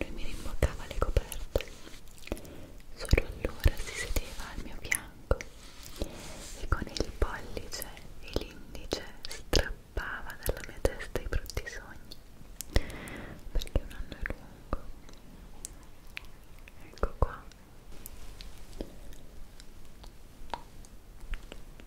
Lui mi rimboccava le coperte, solo allora si sedeva al mio fianco e con il pollice e l'indice strappava dalla mia testa i brutti sogni, perché un anno è lungo. Ecco qua.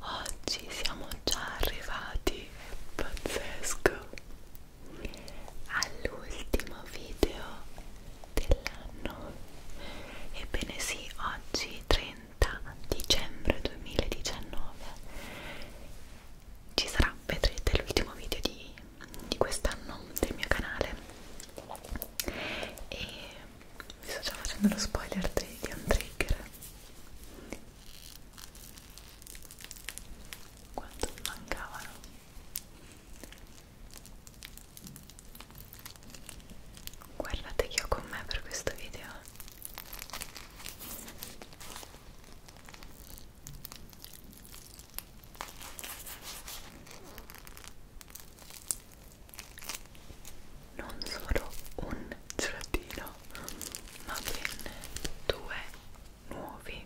oggi siamo già arrivati è pazzesco all'ultimo video dell'anno ebbene sì oggi 30 dicembre 2019 ci sarà vedrete l'ultimo video di, di quest'anno del mio canale e vi sto già facendo lo spoiler di un trigger quanto mi mancavano guardate chi ho con me per questo video non solo un gelatino io ma ben due nuovi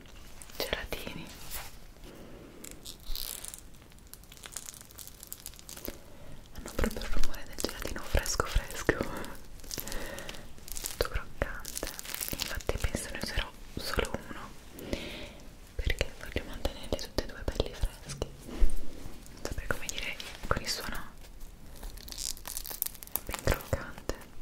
gelatini hanno proprio il rumore del gelatino fresco fresco tutto croccante infatti penso ne userò solo uno perché voglio mantenerli tutti e due belli freschi non saprei come dire con il suono ben croccante okay.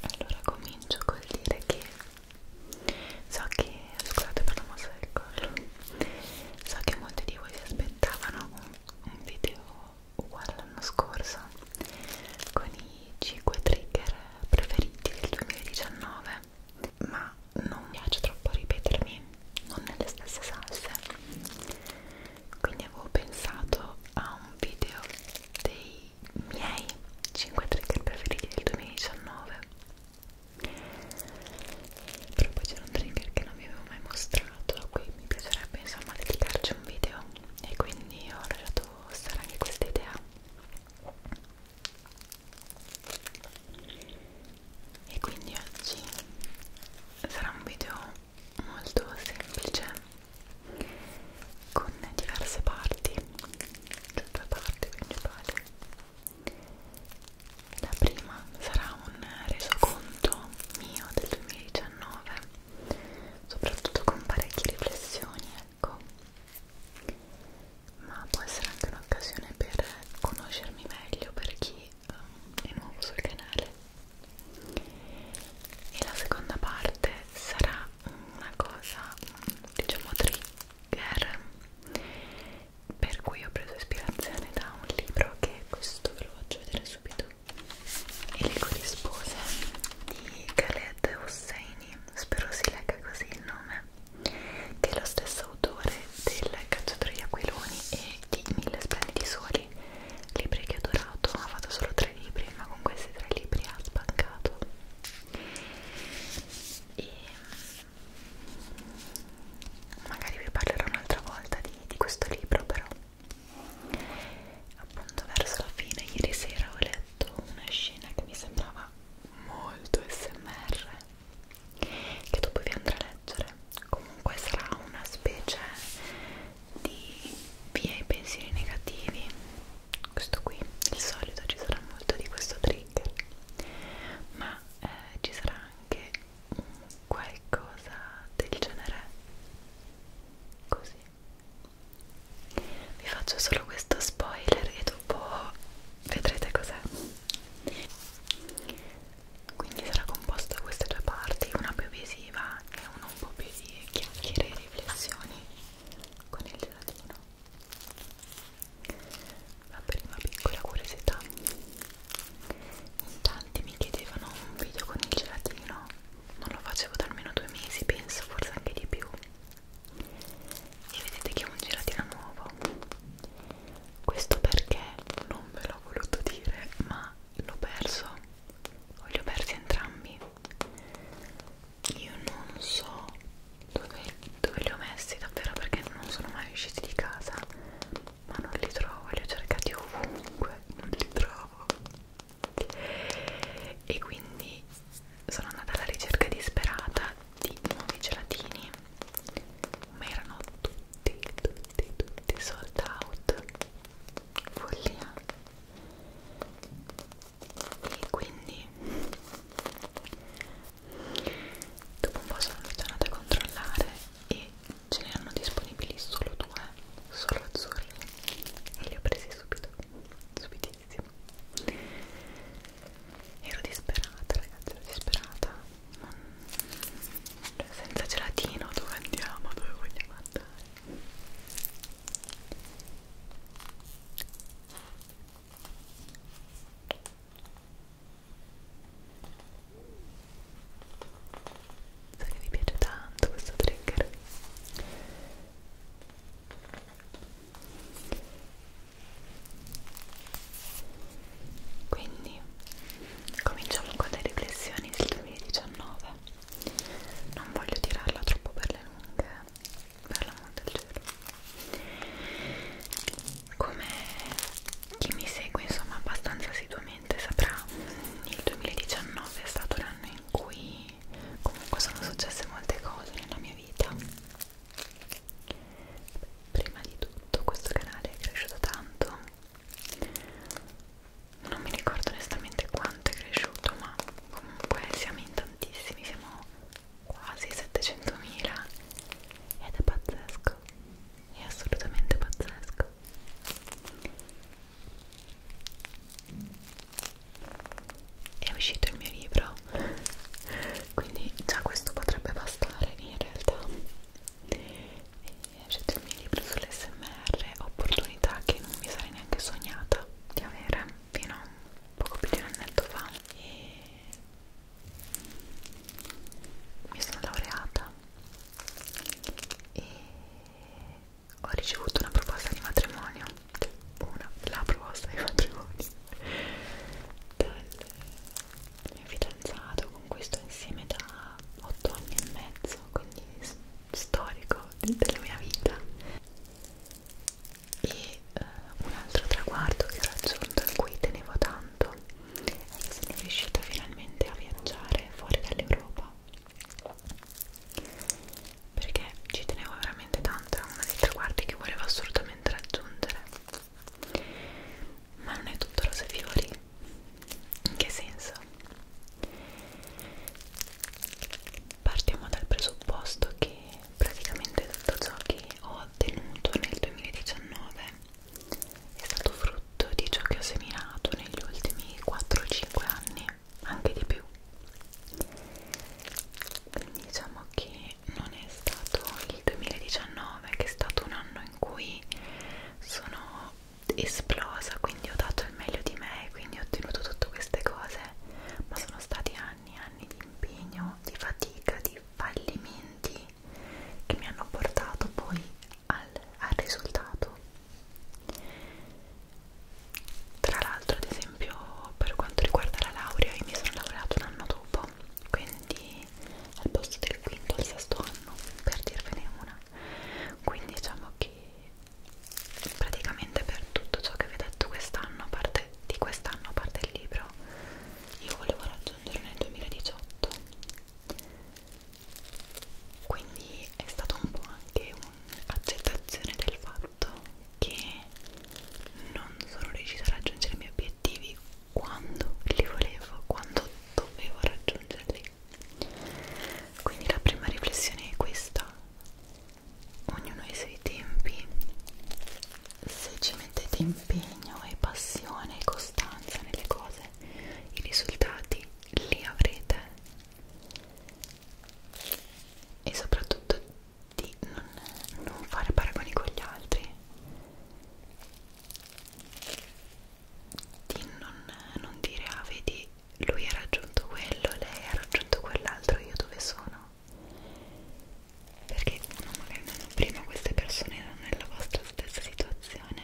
allora comincio col dire che so che scusate per la mossa del collo so che molti di voi si aspettavano un video uguale l'anno scorso con i 5 trigger preferiti del 2019 ma non piace troppo ripetermi non nelle stesse salse quindi avevo pensato a un video dei miei 5 trigger preferiti del 2019 però poi c'era un trigger che non vi avevo mai mostrato a cui mi piacerebbe insomma dedicarci un video e quindi ho lasciato stare anche questa idea e quindi oggi sarà un video molto semplice con diverse parti cioè due parti principali la prima sarà un resoconto mio del 2019 soprattutto con parecchie riflessioni ecco ma può essere anche un'occasione per conoscermi meglio per chi um, è nuovo sul canale e la seconda parte sarà una cosa diciamo trigger per cui ho preso ispirazione da un libro che questo ve lo faccio vedere subito Elenco di spose di Khaled Hosseini spero si legga così il nome che è lo stesso autore del Cacciatore di Aquiloni e di Mille Splendidi Soli, libri che ho adorato, ha fatto solo tre libri, ma con questi tre libri ha sbancato. E magari vi parlerò un'altra volta di, di questo libro, però appunto verso la fine ieri sera ho letto una scena che mi sembrava molto smr che dopo vi andrò a leggere comunque sarà una specie di via i pensieri negativi questo qui il solito ci sarà molto di questo trigger ma eh, ci sarà anche qualcosa del genere così vi faccio solo questo spoiler e dopo vedrete cos'è quindi sarà composta da queste due parti una più visiva e una un po' più di chiacchiere e riflessioni con il gelatino la prima piccola curiosità in tanti mi chiedevano un video con il gelatino non lo facevo da almeno due mesi penso forse anche di più e vedete che è un gelatino nuovo questo perché non ve l'ho voluto dire ma l'ho perso o li ho persi entrambi io non so dove, dove li ho messi davvero perché non sono mai usciti di casa ma non li trovo, li ho cercati ovunque non li trovo e quindi sono andata alla ricerca disperata di nuovi gelatini ma erano tutti, tutti, tutti sold out follia e quindi dopo un po' sono andata a controllare e ce n'erano disponibili solo due solo azzurri e li ho presi subito subitissimo ero disperata ragazzi ero disperata cioè, senza gelatino dove andiamo? Dove vogliamo andare? So che vi piace tanto questo trigger quindi cominciamo con le riflessioni del 2019 non voglio tirarla troppo per le lunghe per l'amore del cielo come chi mi segue insomma abbastanza assiduamente saprà il 2019 è stato l'anno in cui comunque sono successe molte cose nella mia vita prima di tutto questo canale è cresciuto tanto non mi ricordo onestamente quanto è cresciuto ma comunque siamo in tantissimi siamo quasi 700.000 ed è pazzesco è assolutamente pazzesco è uscito il mio libro quindi già questo potrebbe bastare in realtà siete il mio libro sull'SMR, opportunità che non mi sarei neanche sognata di avere fino a poco più di un annetto fa. E mi sono laureata e ho ricevuto una proposta di matrimonio, una, la proposta di matrimonio dal mio fidanzato con questo insieme da 8 anni e mezzo, quindi storico della mia vita. E eh, un altro traguardo che ho raggiunto in cui tenevo tanto è che sono riuscita finalmente a viaggiare fuori dall'Europa perché ci tenevo veramente tanto, è uno dei traguardi che volevo assolutamente raggiungere ma non è tutto rose e fiori in che senso? partiamo dal presupposto che praticamente tutto ciò che ho ottenuto nel 2019 è stato frutto di ciò che ho seminato negli ultimi 4-5 anni anche di più quindi diciamo che non è stato il 2019 che è stato un anno in cui sono esplosa quindi ho dato il meglio di me quindi ho ottenuto tutte queste cose ma sono stati anni e anni di impegno di fatica di fallimenti che mi hanno portato poi al, al risultato tra l'altro ad esempio per quanto riguarda la laurea io mi sono laureato un anno dopo quindi al posto del quinto al sesto anno per dirvene una quindi diciamo che praticamente per tutto ciò che vi ho detto quest'anno parte di quest'anno a parte il libro io volevo raggiungere nel 2018 quindi è stato un po' anche un'accettazione del fatto che non sono riuscita a raggiungere i miei obiettivi quando li volevo, quando dovevo raggiungerli. Quindi la prima riflessione è questa. Ognuno ha i suoi tempi. Se ci mettete impegno e passione e costanza nelle cose, i risultati li avrete. E soprattutto di non, non fare paragoni con gli altri di non, non dire ah vedi lui ha raggiunto quello, lei ha raggiunto quell'altro, io dove sono? Perché uno magari non prima queste persone erano nella vostra stessa situazione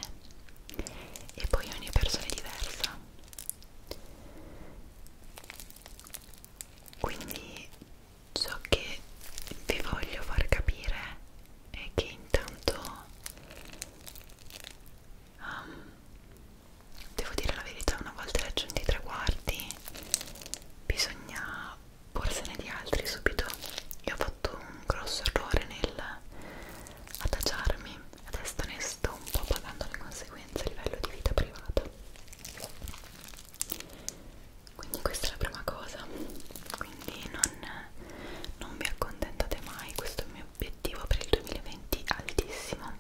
e poi ogni persona è diversa. Quindi ciò che vi voglio far capire è che intanto um, devo dire la verità una volta raggiunti i traguardi bisogna porsene di altri subito io ho fatto un grosso errore nel adagiarmi adesso ne sto un po' pagando le conseguenze a livello di vita privata quindi questa è la prima cosa quindi non non vi accontentate mai, questo è il mio obiettivo per il 2020 altissimo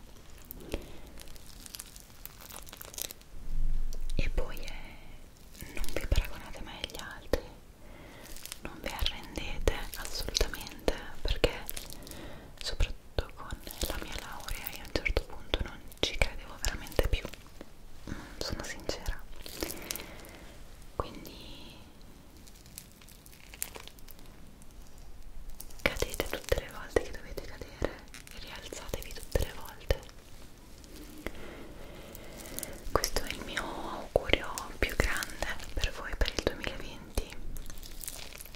e poi è non vi paragonate mai agli altri non vi arrendete assolutamente perché soprattutto con la mia laurea io a un certo punto non ci credevo veramente più sono sincera quindi Cadete tutte le volte che dovete cadere e rialzatevi tutte le volte. Questo è il mio augurio più grande per voi per il 2020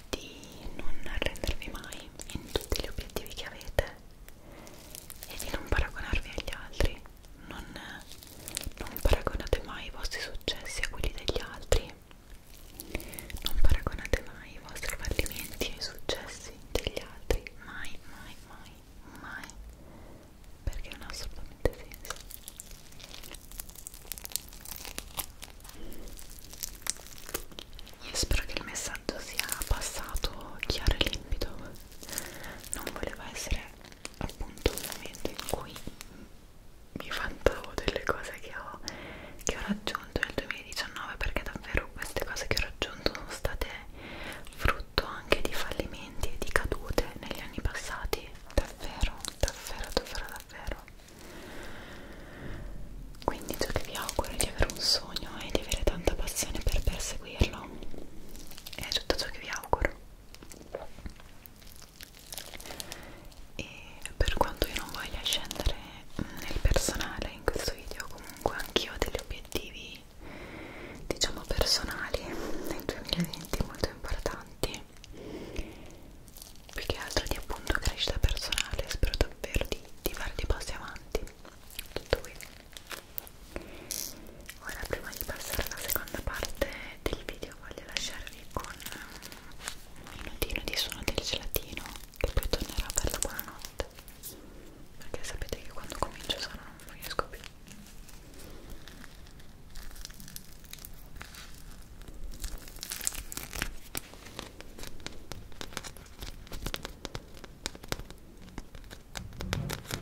di non arrendervi mai in tutti gli obiettivi che avete e di non paragonarvi agli altri non, non paragonate mai i vostri successi a quelli degli altri non paragonate mai i vostri fallimenti ai successi degli altri mai, mai, mai, mai perché non ha assolutamente senso io spero che il messaggio sia passato chiaro e limpido non voleva essere appunto un momento in cui mi vanto delle cose che ho, che ho raggiunto nel 2019 perché davvero queste cose che ho raggiunto sono state frutto anche di fallimenti e di cadute negli anni passati davvero, davvero, davvero, davvero quindi ciò che vi auguro è di avere un sogno e di avere tanta passione per perseguirlo è tutto ciò che vi auguro e per quanto io non voglia scendere nel personale in questo video comunque anch'io ho degli obiettivi diciamo personali nel 2020 molto importanti più che altro di appunto crescita personale spero davvero di, di fare dei passi avanti tutto qui ora prima di passare alla seconda parte del video io voglio lasciarvi con un minutino di suono del gelatino che poi tornerà per la buonanotte perché sapete che quando comincio solo non riesco più Buonanotte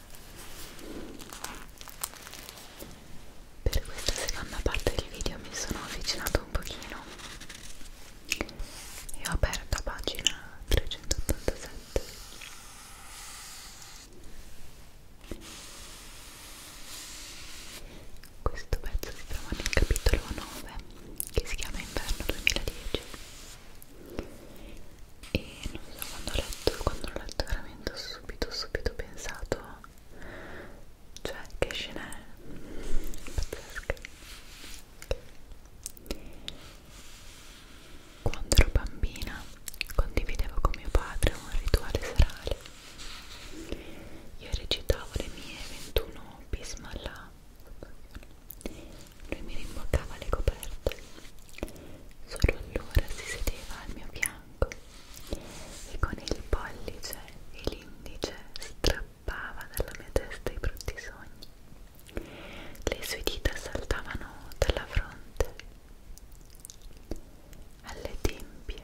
Per questa seconda parte del video mi sono avvicinato un pochino e ho aperto pagina 387 questo pezzo si trova nel capitolo 9 che si chiama Inverno 2010 e non so quando ho letto, quando l'ho letto veramente veramente ho subito subito pensato cioè che scena è pazzesca quando ero bambina condividevo con mio padre un rituale serale io recitavo le mie 21 bismalla lui mi rimboccava le coperte solo allora si sedeva al mio fianco bianco e con il pollice e l'indice strappava dalla mia testa i brutti sogni. Le sue dita saltavano dalla fronte alle tempie,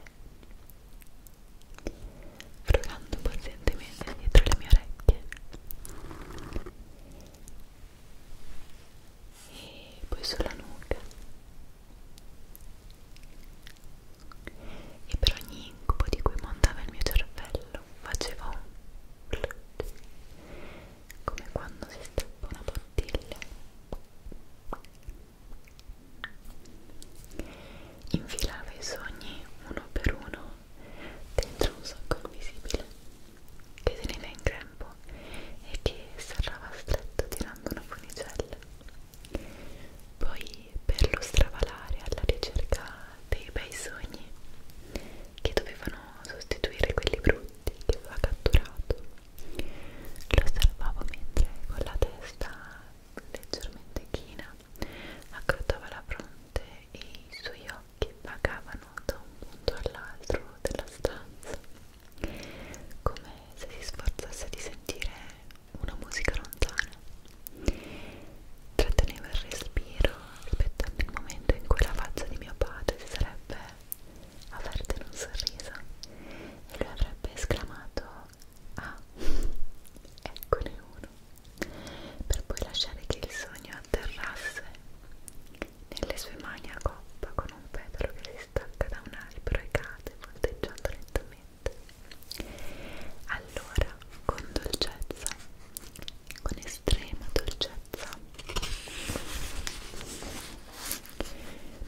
frugando pazientemente dietro le mie orecchie. E poi sulla nuca e per ogni incubo di cui montava il mio cervello facevo un come quando si stappa una bottiglia. Infilava i sogni uno per uno dentro un sacco invisibile che teneva in grembo e che serrava stretto tirando una funicella. Poi per lo stravalare alla ricerca dei bei sogni che dovevano sostituire quelli brutti che aveva catturato, lo osservavo mentre con la testa leggermente china accrottava la fronte e i suoi occhi vagavano da un punto all'altro della stanza come se si sforzasse di sentire una musica lontana. Trattenevo il respiro aspettando il momento in cui la faccia di mio padre si sarebbe aperta in un sorriso e lui avrebbe esclamato Ah, eccone uno, per poi lasciare che il sogno atterrasse nelle sue mani a coppa con un petalo che si stacca da un albero e cade volteggiando lentamente. Allora, con dolcezza, con estrema dolcezza,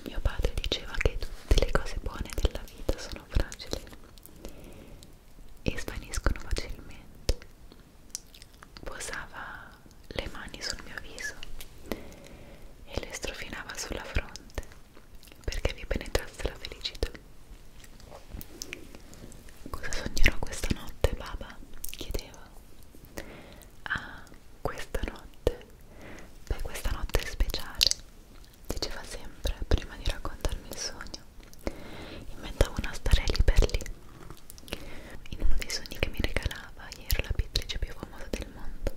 mio padre diceva che tutte le cose buone della vita sono fragili e svaniscono facilmente. Posava le mani sul mio viso e le strofinava sulla fronte perché vi penetrasse la felicità. Cosa sognerò questa notte, Baba? chiedeva. Ah, questa notte? Beh, questa notte è speciale, diceva sempre prima di raccontarmi il sogno. Inventavo una starelli per lì. In uno dei sogni che mi regalava, io ero la pittrice più famosa del mondo.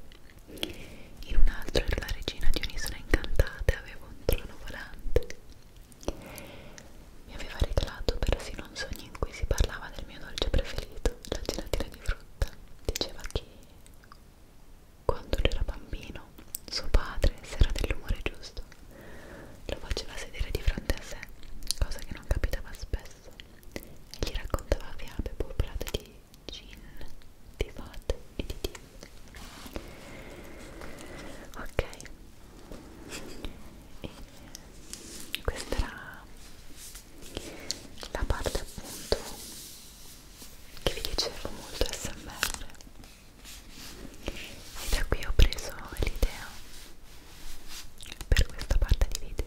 In un altro era la regina di un'isola incantata e aveva un trono volante. Mi aveva regalato persino un sogno in cui si parlava del mio dolce preferito, la gelatina di frutta. Diceva che quando lui era bambino, suo padre, se era dell'umore giusto, lo faceva sedere di fronte a sé, cosa che non capitava spesso, e gli raccontava fiabe popolate di gin di fat e di tea ok e questa era la parte appunto che vi dicevo molto smr e da qui ho preso l'idea per questa parte di video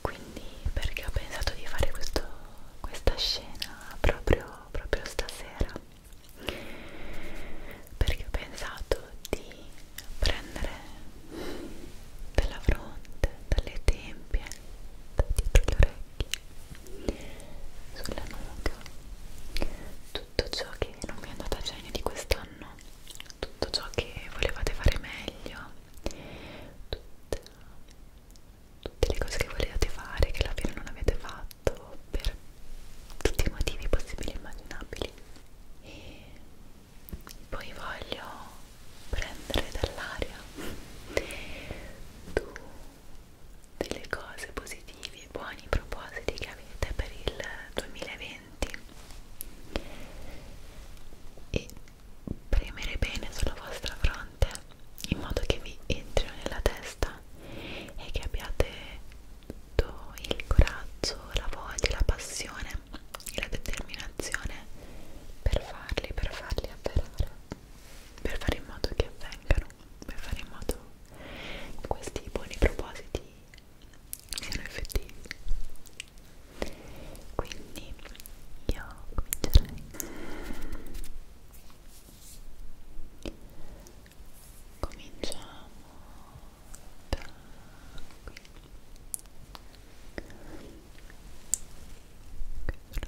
quindi perché ho pensato di fare questo, questa scena proprio, proprio stasera perché ho pensato di prendere dalla fronte, dalle tempie, da dietro le orecchie occhi, sulla nuca, tutto ciò che non mi è andata a genio di quest'anno, tutto ciò che volevate fare meglio, tutta, tutte le cose che volevate fare che alla fine non avete fatto per tutti i motivi possibili e immaginabili. E poi voglio prendere dall'aria tu delle cose positive e buoni propositi che avete per il 2020 e premere bene sulla vostra fronte in modo che vi entrino nella testa e che abbiate tutto il coraggio, la voglia, la passione e la determinazione per farli, per farli avverare per fare in modo che avvengano, per fare in modo che questi buoni propositi siano effettivi. Quindi io comincerei cominciamo da qui questo lo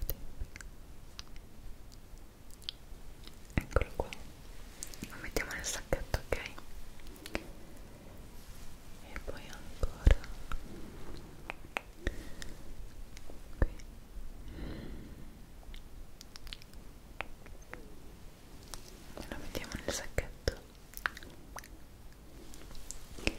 eccolo qua lo mettiamo nel sacchetto ok e poi ancora qui lo mettiamo nel sacchetto e...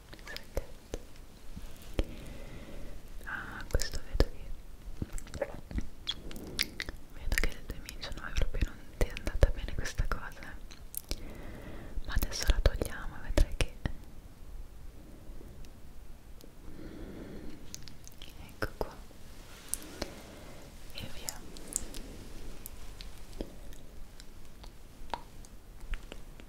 nel sacchetto ah questo vedo che vedo che le tue mince non proprio non ti è andata bene questa cosa ma adesso la togliamo e vedrai che ecco qua e via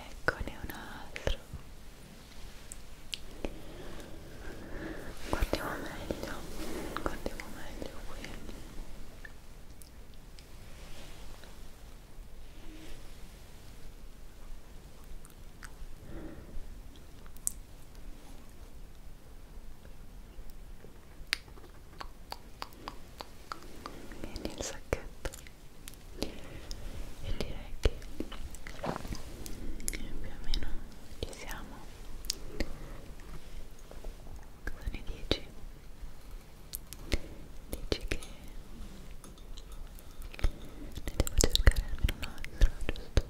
eccone un altro guardiamo meglio guardiamo meglio qui ok Vieni il sacchetto e direi che più o meno ci siamo sono i 10 dici che ne devo cercare almeno un altro giusto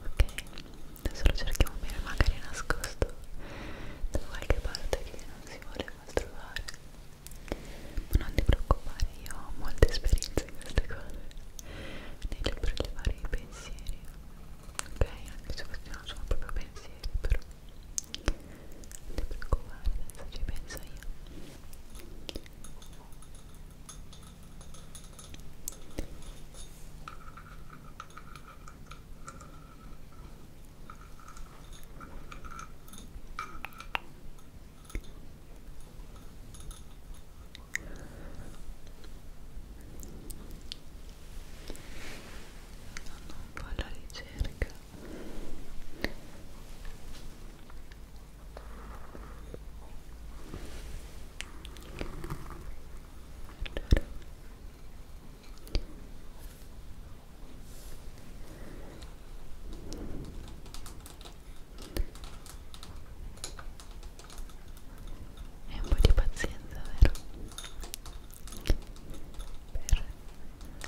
ok adesso lo cerchiamo bene magari nascosto da qualche parte che non si vuole mal trovare ma non ti preoccupare io ho molta esperienza in queste cose nel prelevare i pensieri ok anche se questi non sono proprio pensieri però non ti preoccupare adesso ci penso io ok sono un po' alla ricerca allora e un po' di pazienza vero?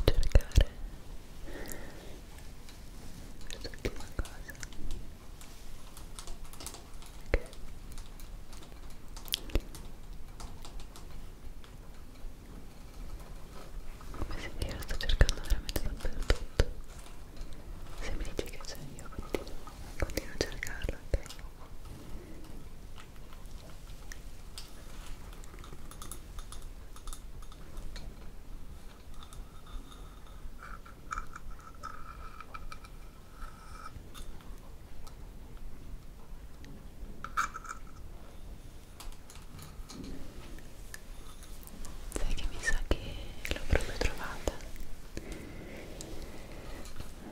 per cercare quest'ultima cosa come si dice, lo sto cercando veramente dappertutto. Se mi dici che c'è io continuo, continuo a cercarlo, ok? Sai che mi sa che l'ho proprio trovata.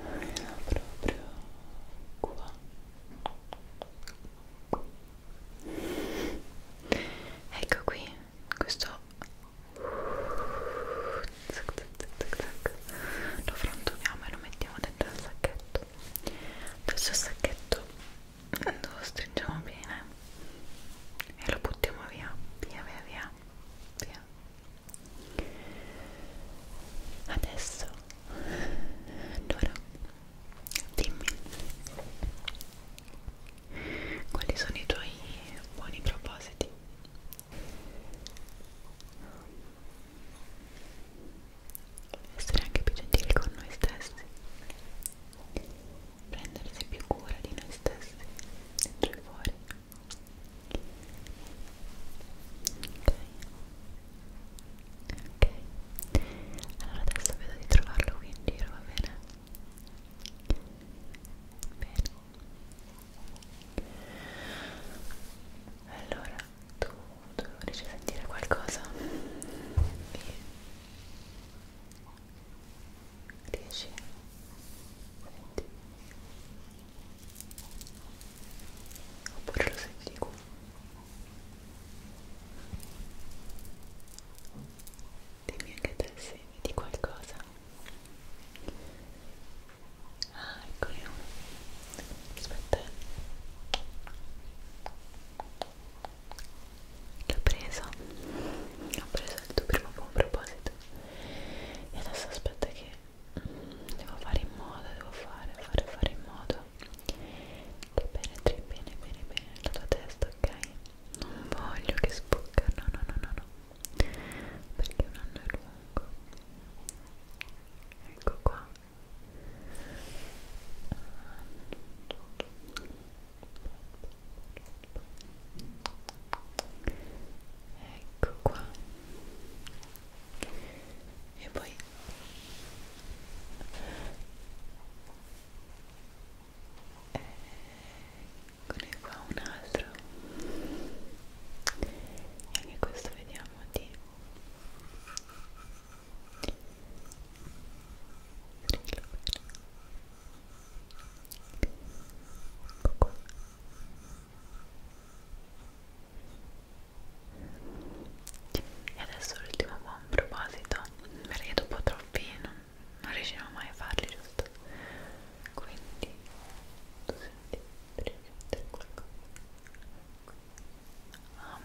L'ho proprio qua. Ecco qui, questo lo frantumiamo e lo mettiamo dentro il sacchetto adesso il sacchetto lo stringiamo bene e lo buttiamo via via via via, via. adesso allora dimmi quali sono i tuoi buoni propositi essere anche più gentili con noi stessi prendersi più cura di noi stessi dentro e fuori ok ok allora adesso vedo di trovarlo qui in giro va bene bene allora tu riesci a sentire qualcosa? riesci? senti? oppure lo senti di qua? dimmi anche te se vedi qualcosa Ah, eccoli uno. Aspetta. Che ho preso? Ho preso il tuo primo buon proposito. E adesso aspetta che devo fare in modo, devo fare, fare, fare in modo. Che penetri bene, bene, bene la tua testa, ok? Non voglio che spucca, no, no, no, no, no. Perché un anno è lungo. Ecco qua ecco qua e poi eccone qua un altro e anche questo vediamo di e adesso l'ultimo buon proposito, perché dopo troppi non, non riusciamo mai a farli, giusto? Quindi tu senti qualcosa, qualcosa, um.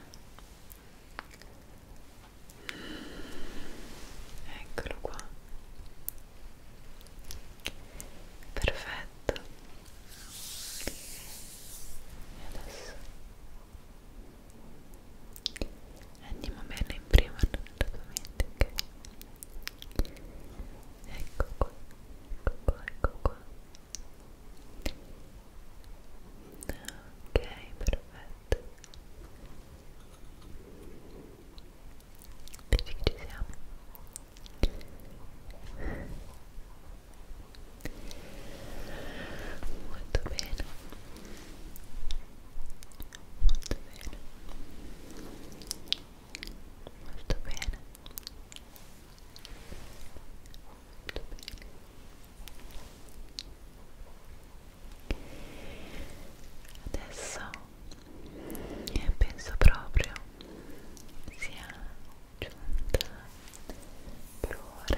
eccolo qua perfetto e adesso andiamo bene in prima nell'argomento ok ecco qua ecco qua ecco qua ok perfetto vedi che ci siamo molto bene molto bene molto bene molto bene adesso penso proprio sia giunta per ora di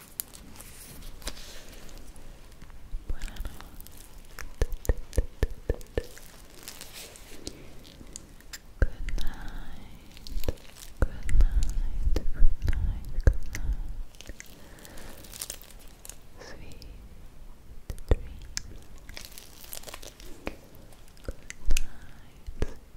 Sweet dreams. Good night. Good night. Good night. Good night. Good night. Good night.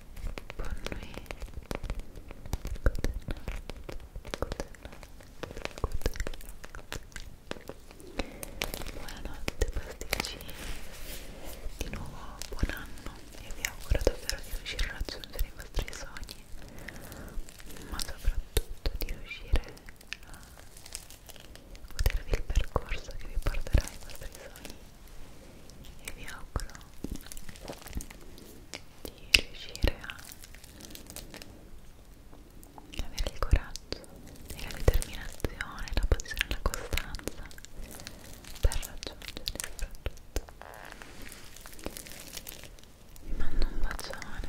buon nuit buonanotte pasticcini di nuovo buon anno e vi auguro davvero di riuscire a raggiungere i vostri sogni ma soprattutto di riuscire a godervi il percorso che vi porterà ai vostri sogni e vi auguro di riuscire a avere il coraggio e la determinazione, la passione e la costanza per raggiungere soprattutto vi mando un bacione e